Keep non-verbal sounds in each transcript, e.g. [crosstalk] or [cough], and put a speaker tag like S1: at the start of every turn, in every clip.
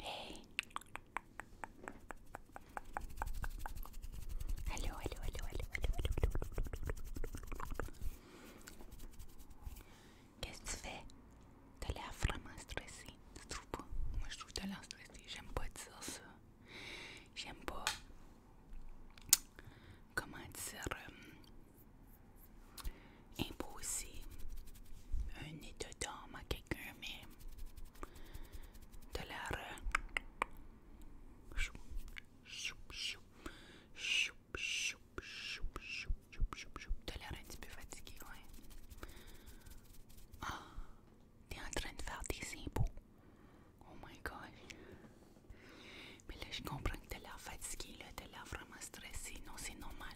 S1: Hey. Hallo, hallo, hallo, hallo, hallo, hallo, Qu'est-ce que tu fais? T'as l'air vraiment stressé. Tu trouves pas? Moi, je trouve que t'as l'air stressé. J'aime pas dire ça. J'aime pas. Comment dire? Euh, imposer un de d'âme à quelqu'un, mais de la chou, l'air un petit peu fatigué, ouais. Ah, t'es en train de faire des impôts. Oh my gosh. Mais là, je comprends que t'as l'air fatigué, là, t'as l'air vraiment stressé. Non, c'est normal.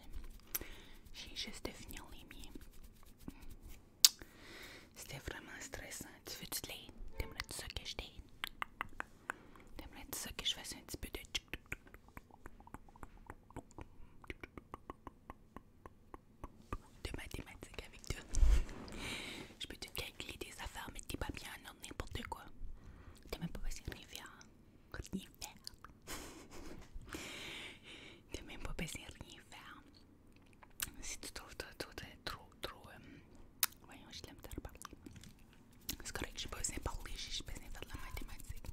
S1: J'ai juste de finir les miens. C'était vraiment stressant. Tu veux du lait? T'aimerais-tu ça que je t'ai. T'aimerais-tu ça que je fasse un petit peu de... mathématiques avec toi? je peux te calculer des affaires, mais t'es pas bien n'importe quoi. T'es même pas passé une rivière rien faire. T'as même pas besoin de rien faire. Si tu trouves toi trop, trop, trop euh, voyons, je l'aime te parler C'est correct, j'ai pas besoin de parler, j'ai besoin de faire de la mathématique.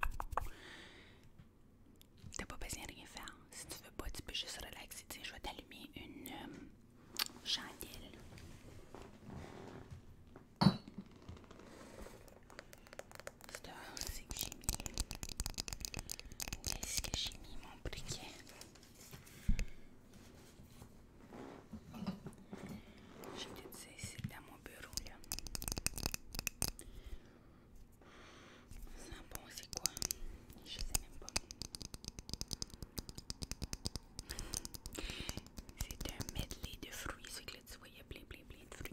S1: T'as pas besoin de rien faire. Si tu veux pas, tu peux juste relaxer. tiens, je vais t'allumer une euh, chandelle c'est que j'ai mis. Où est-ce que j'ai mis mon briquet? Je te ça c'est dans mon bureau là. un bon, c'est quoi? Je sais même pas. C'est un medley de fruits, c'est que là tu a plein plein plein de fruits.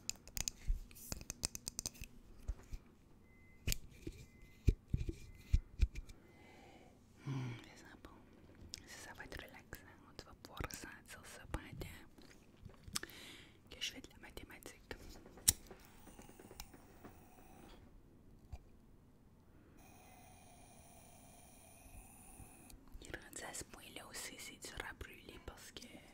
S1: c'est Ça, va être relaxant. Tu vas pouvoir ressentir ça pendant que je fais de la mathématique. Il ça, à ce là aussi, c'est dur à brûler parce que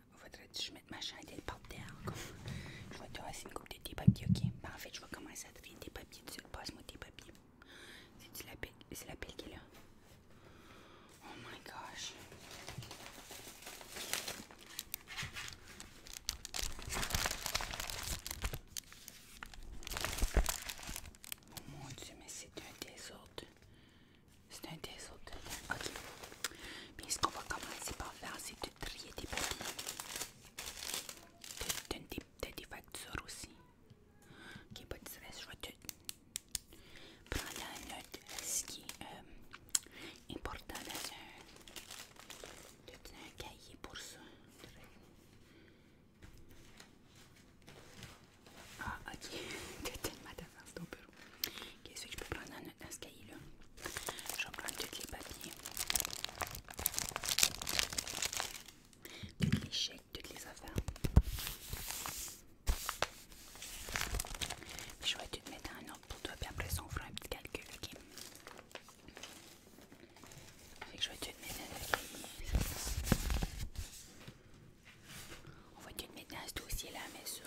S1: Je tu que je mette ma chandelle par terre Je vais te laisser une coupe de tes papiers, ok? Parfait, je vais commencer à trier tes papiers dessus. Passe-moi tes papiers. C'est la pile qui est là. Oh my gosh. Oh mon dieu, mais c'est un désordre. C'est un des autres. Ok. Puis ce qu'on va commencer par faire, c'est de trier des papiers. T'as des, des, factures aussi. Ok, pas de stress, je vais te prendre en note ce qui est euh, important dans un, dans un cahier pour ça. Ah, ok. [laughs] T'as tellement d'avance dans le bureau. Qu'est-ce que je peux prendre dans, ce cahier-là? Je vais prendre toutes les papiers. Toutes les chèques, toutes les affaires. je vais te mettre un ordre pour toi, puis après ça, on fera un petit calcul, ok? je vais te mettre dans le cahier. On va te mettre dans ce dossier-là, mais ça.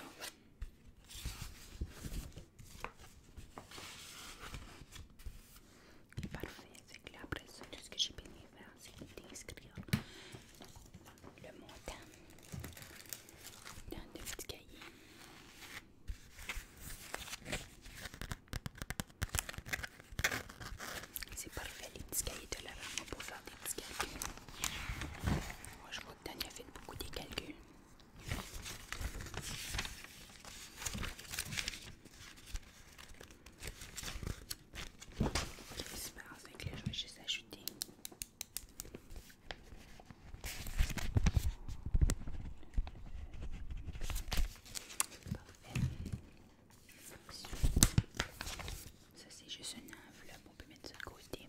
S1: C'est parfait, c'est que là, après ça, tout ce que j'ai bien faire, c'est d'inscrire le montant dans le petit cahier. C'est parfait, les petits cahiers de la pour faire des petits cahiers. Moi, je vais Bogdan a fait beaucoup des calculs. C'est pas grave je vais juste ajouter. Parfait. Ça c'est juste un enveloppe, on peut mettre ça de côté.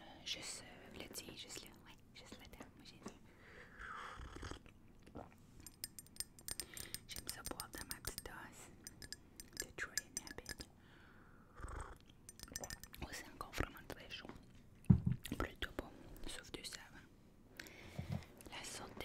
S1: Euh, juste euh, juste là. Ouais, juste le J'aime ça boire dans ma petite de et oh, c'est vraiment très chaud. Plutôt bon, sauf du savon. La sorte de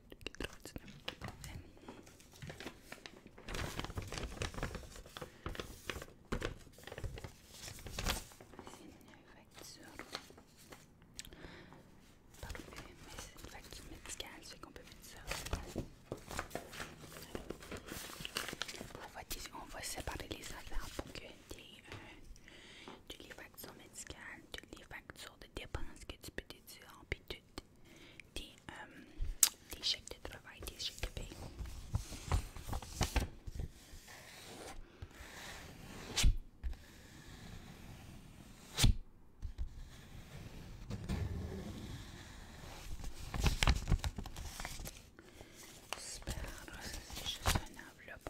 S1: c'est une facture par mais c'est une facture médicale ce qui on peut mettre ça on va disons on va séparer les affaires pour que des euh, de les factures médicales toutes les factures de dépenses que tu peux déduire, puis tu, des euh, chèques de travail, des chèques de J'espère que c'est juste une enveloppe,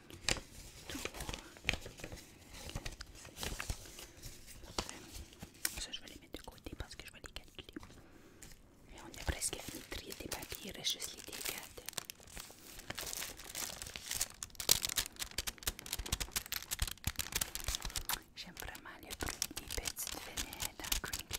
S1: tout Ça, je vais les mettre de côté parce que je vais les calculer. Et on est presque fini de trier des papiers, je suis les dégates. J'aime vraiment le bruit des petites fenêtres Crinkly.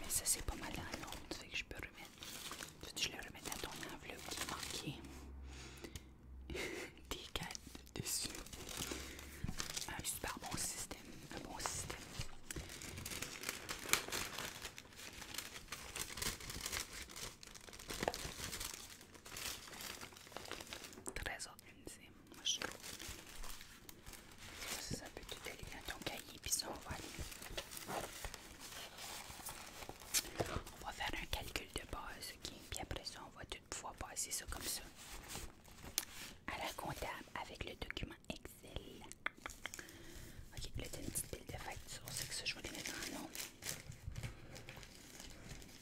S1: Mais ça c'est pas mal dans tu que je peux remettre. Je ton enveloppe qui [laughs] dessus. Ah, un super bon système. Ça peut tout aller dans ton cahier, puis ça, on va aller. On va faire un calcul de base, ok? Puis après ça, on va toutefois passer ça comme ça. À la comptable avec le document Excel. Ok, là, t'as une pile de factures, c'est que ça, je vais les mettre en nom.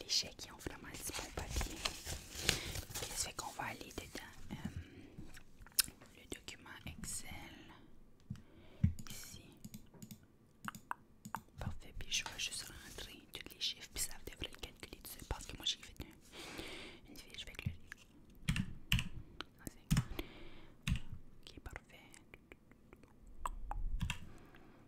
S1: les chèques qui ont vraiment un bon papier. Qu'est-ce qu'on va aller dedans? Euh, le document Excel. Ici. Parfait. Puis je vais juste rentrer tous les chiffres. Puis ça devrait le calculer dessus Parce que moi j'ai fait une, une fiche avec le. Ok, parfait.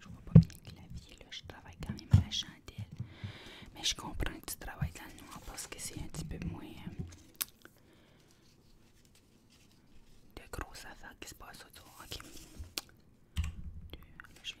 S1: Je vois pas bien le clavier, là. Je travaille quand même à la chandelle. Mais je comprends que tu travailles dans le noir parce que c'est un petit peu moins. Euh, de grosses affaires qui se passent autour. Ok. je vais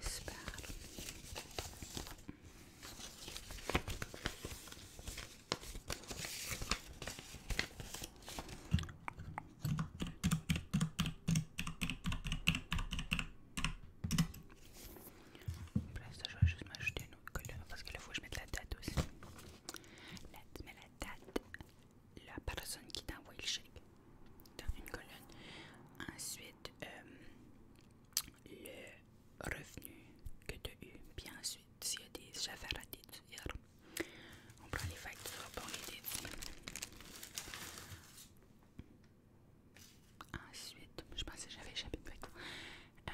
S1: Super. Bref, je vais juste m'ajouter une autre couleur parce que la fois je mets de la date aussi. Là, tu mets la date la personne qui t'envoie le chèque dans une colonne. Ensuite, euh, le revenu que tu as eu. Puis ensuite, s'il y a des affaires à déduire, on prend les factures, pour les déduire. Ensuite, je pensais que j'avais échappé de euh,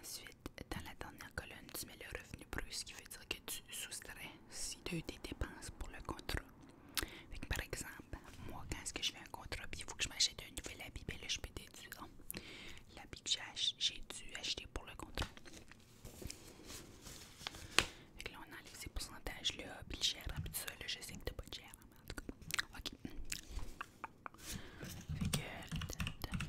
S1: Ensuite, dans la dernière colonne, tu mets le revenu brut, ce qui veut dire que tu soustrais si deux des dépenses pour le contrat. par exemple, moi, quand est-ce que je fais un contrat, il faut que je m'achète un nouvel habit, ben là, je peux déduire ah, l'habit que j'ai dû acheter pour le contrat. Fait là, on a les pourcentages-là, puis le gérant, puis tout ça, là, je sais que t'as pas de mais en tout cas. OK. Fait que, c'est le, le 24,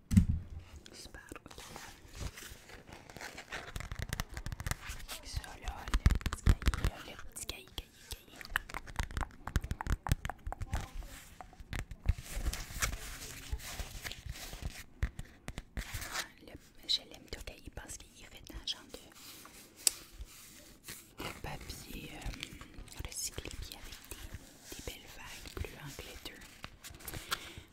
S1: spargo ça là, le petit cahier, le petit cahier, cahier, cahier. je l'aime tout cahier parce qu'il est fait dans le genre de, papier euh, recyclé puis avec des, des belles vagues bleues en glitter.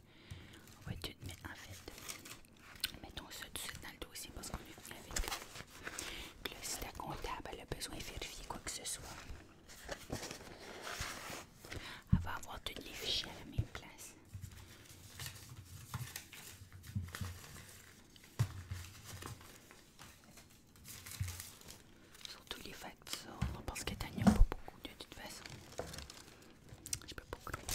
S1: On va tout mettre en fait. Mettons ça tout de suite dans le dossier parce qu'on est venu avec. Le là, comptable elle a besoin de vérifier quoi que ce soit, elle va avoir tous les fichiers à la même place. Surtout les factures, parce que t'en a pas beaucoup de toute façon. Je peux pas clouer.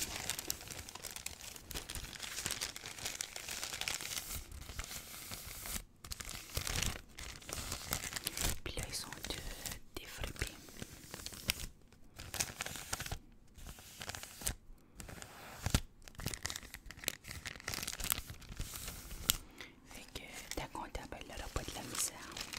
S1: Puis là, ils sont de, défrippés. Fait que ta comptable n'aura pas de la misère.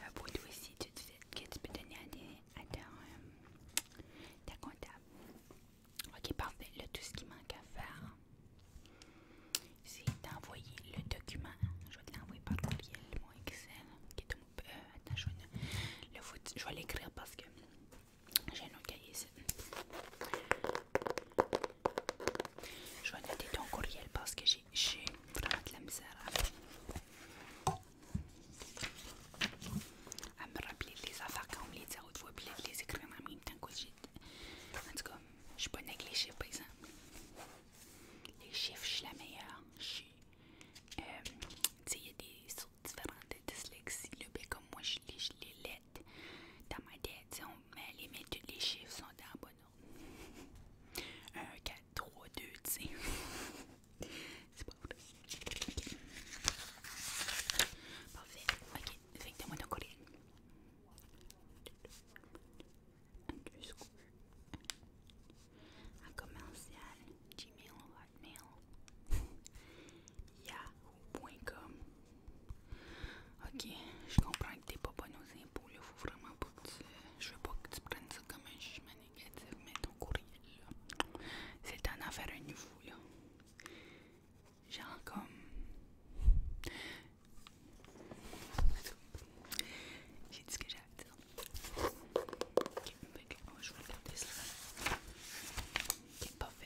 S1: Euh, pour toi aussi, tu disais que tu peux donner à, à euh, ta comptable. Ok, parfait. Là, tout ce qui manque à faire, c'est d'envoyer le document. Je vais te l'envoyer par courriel, mon Excel. Euh, attends, je vais l'écrire parce que j'ai nos cahiers ici. Je vais noter ton courriel parce que j'ai vraiment de la misère à, me rappeler les affaires quand on me les dit à haute les écrire en même temps que j'ai. En tout cas, je suis pas négligée par exemple. Les chiffres, je suis la meilleure. Je suis. Euh, tu sais, sont différentes de dyslexie. Le B ben, comme moi, je lis les lettres dans ma tête. On met les méthodes, les chiffres sont dans bon ordre. 1, 4, 3, 2, tu sais. C'est pas vrai. Parfait. Ok, fait de donne-moi ton courriel. Underscore. Un commercial. Gmail, Hotmail. [laughs] Yahoo com. Ok, je comprends que t'es pas bonne aux impôts, là. Faut Je veux pas que tu prennes ça comme un jugement négatif, mais ton courriel, là. C'est le temps d'en faire un nouveau, là. Genre comme. J'ai dit ce que j'avais à dire. Ok, ben, je vais regarder ça. Ok, parfait.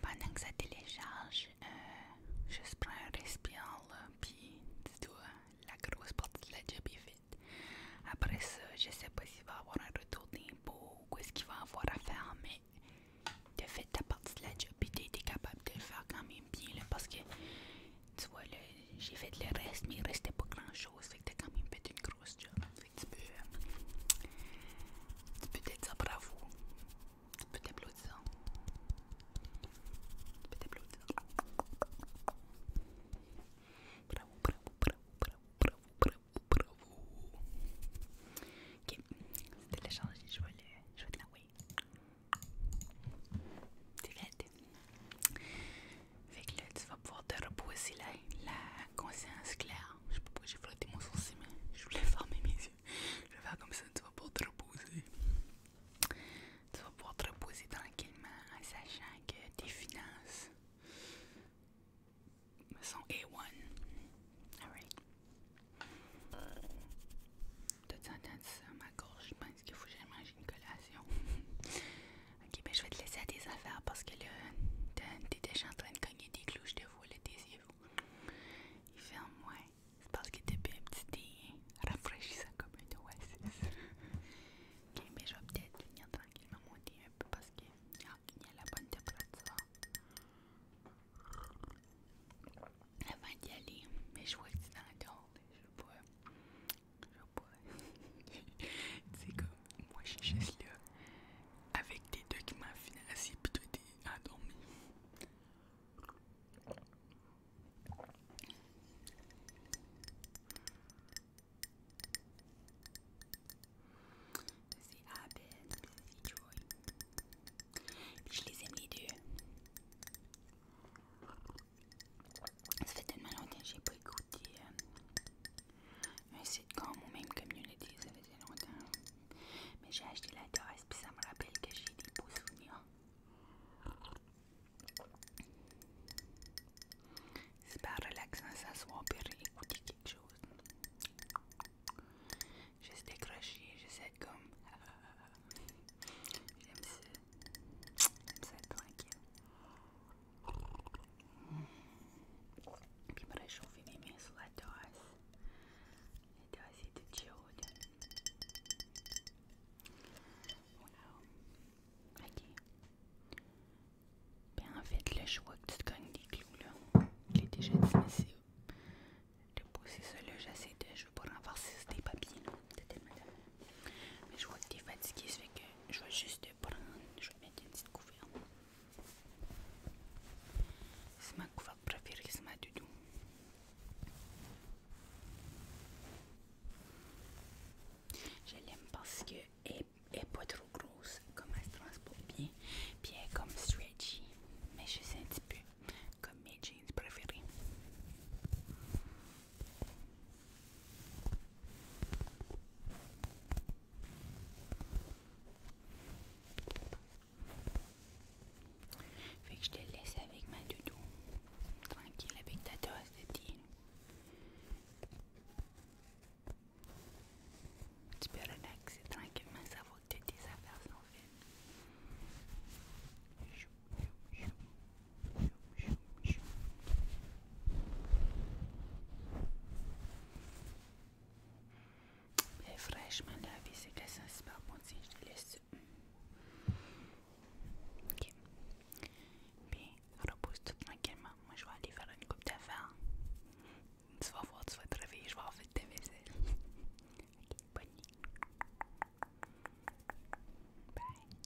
S1: Pendant que ça télécharge, euh, je prends un respire, puis tu la grosse partie de la job est faite. Après ça, je sais pas s'il va avoir un retour d'impôt ou quest ce qu'il va avoir à faire, mais de fait, ta partie de la job, tu t'es capable de le faire quand même bien, parce que, tu vois, j'ai fait le reste, mais il restait pas grand-chose. Fait grosse job. tu peux. bravo. Bravo, bravo, bravo, bravo, bravo, bravo, Ok, c'était l'échange, je vais Je te l'envoyer. C'est fait. tu vas pouvoir te reposer la conscience claire. Je sais pas pourquoi j'ai flotté mon sourcil, mais je voulais fermer mes yeux. Je vais faire comme ça, tu vas pouvoir te reposer. Tu vas pouvoir te reposer tranquillement en sachant que tes finances sont A1. Alright. temps en entendu ça? Ma gorge, je pense qu'il faut que une collation. [laughs] Ok, mais je vais te laisser à tes affaires parce que là, t'es déjà en train de cogner des clous, je te vois là, tes yeux. C'est parce que t'es un petit, rafraîchissant comme un oasis. ok, mais je vais peut-être venir tranquillement monter un peu parce que ah, y a la bonne température. Avant d'y aller, mais je vois que tu dans je Je c'est [laughs] moi j'ai juste là avec des deux qui documents financiers pis à à endormi. C'est Abel, c'est Joy. je les aime les deux. Ça fait tellement longtemps que j'ai pas écouté euh, un comme ou même community, ça faisait longtemps. Mais j'ai acheté la tasse puis ça me rappelle que j'ai des beaux souvenirs. C'est pas relaxant ça soit et écouter quelque chose. Juste et j'essaie de comme. Ah, ah, ah, J'aime ça. J'aime ça tranquille. Пибра шовиними слатас. Это аситы чиода. Voilà. Ok. Ben en fait, là, je vois que tu te cognes des clous, là. Je l'ai déjà dit, mais c'est... De pousser ça, là, j'essaie de... Je veux pas renforcer tes papiers, là. Mais je vois que t'es fatigué, ça fait que je vais juste te prendre... Je vais mettre une petite couverte. C'est ma préférée, ma du tout je l'aime parce qu'elle est pas trop grosse, comme elle se transporte bien, puis elle est comme stretchy, mais je sais un petit peu comme mes jeans préférés. Fait que je te laisse avec ma doudou. Tranquille avec ta tasse de thé. Tu peux relaxer tranquillement, ça va que tes affaires sont faites. Mais fraîchement la vie c'est que ça c'est pas bon. si je te laisse. Ok. Bien, repose-toi tranquillement. Moi, je vais aller faire une coupe d'affaires. Tu vas voir, tu vas te réveiller, je vais en faire tes vaisselles. ok, bonne nuit. Bye.